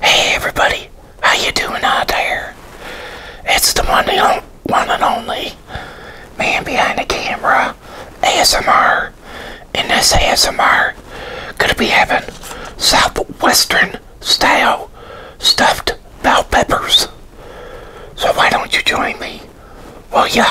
Hey everybody, how you doing out there? It's the one and, one and only man behind the camera, ASMR. In this ASMR, gonna be having southwestern style stuffed bell peppers. So why don't you join me? Well, yeah.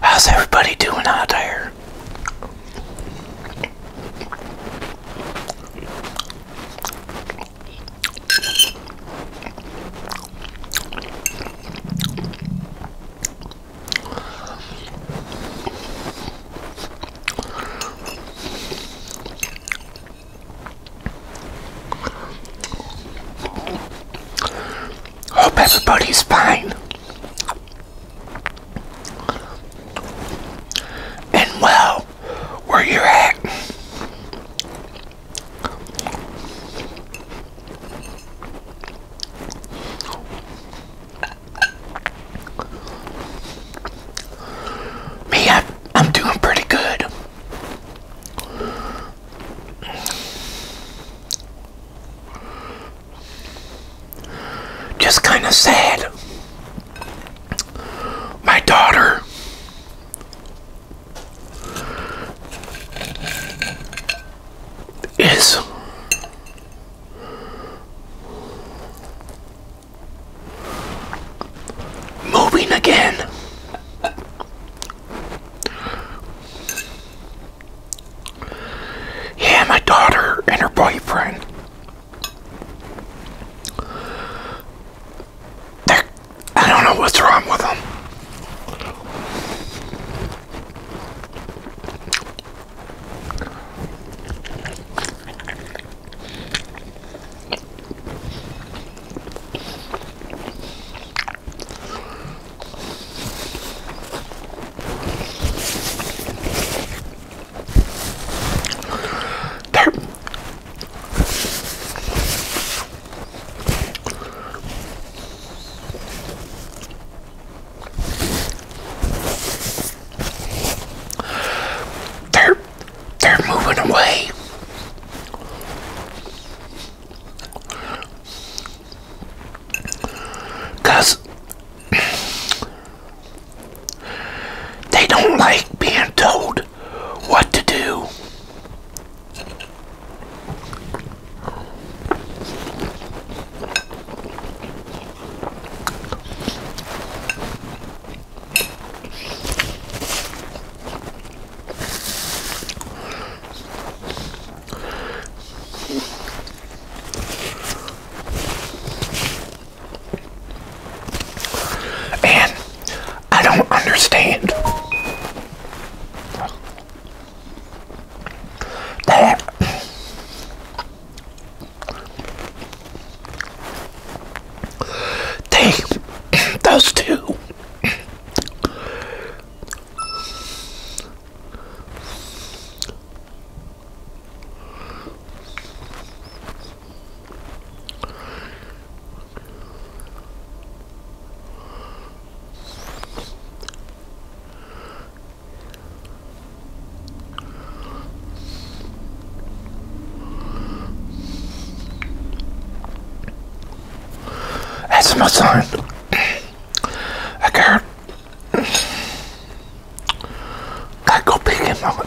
How's everybody doing out there? Hope everybody's fine and well where you at. Me, I'm doing pretty good. Just kind of sad. My daughter is moving again yeah, my daughter and her boyfriend. I don't know what's wrong with them. They're, they're, they're moving away. Because they don't like being told what to do. And I don't understand that they, those two, that's my son. I got I go pick him up.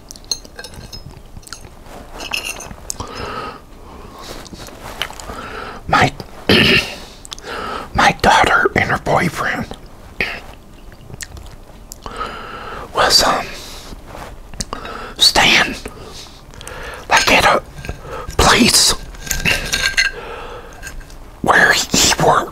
My my daughter and her boyfriend was um staying at a place where he worked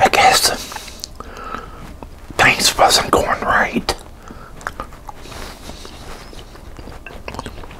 And I guess things wasn't going right.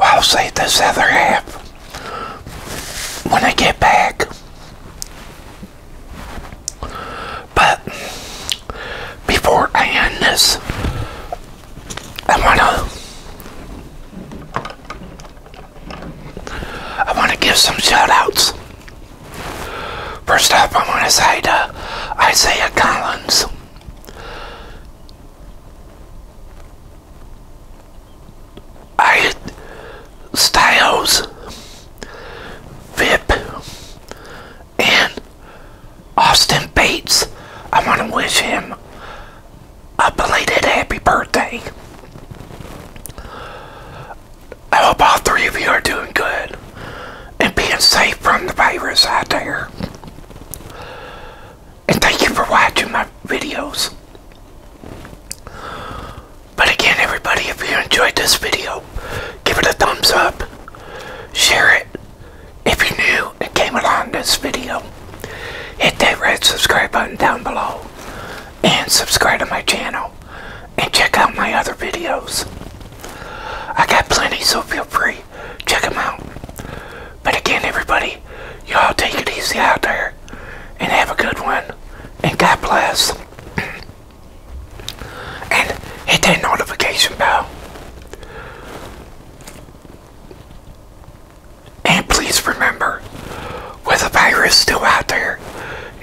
I'll save this other half when I get back. But before I end this, I wanna I wanna give some shoutouts. First up, I wanna say to Isaiah Collins. I Styles Vip and Austin Bates. I want to wish him a belated happy birthday. I hope all three of you are doing good and being safe from the virus out there. And thank you for watching my videos. But again, everybody, if you enjoyed this video, give it a thumbs up, share it. If you're new and came along this video, hit that red subscribe button down below and subscribe to my channel and check out my other videos. I got plenty, so feel free. Check them out. But again, everybody, y'all take it easy out there and have a good one. And God bless. and hit that notification bell. And please remember, with the virus still out there,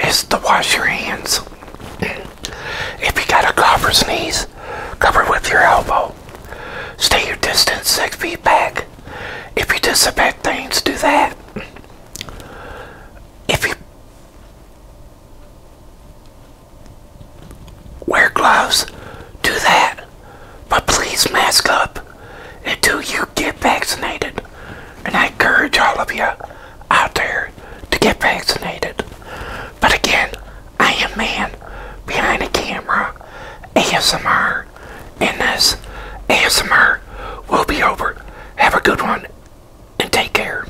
is to wash your hands. If you got a cough or sneeze, cover with your elbow. Stay your distance six feet back. If you disinfect things, do that. If you Wear gloves, do that, but please mask up until you get vaccinated. And I encourage all of you out there to get vaccinated. But again, I am man behind the camera, ASMR, and this ASMR will be over. Have a good one and take care.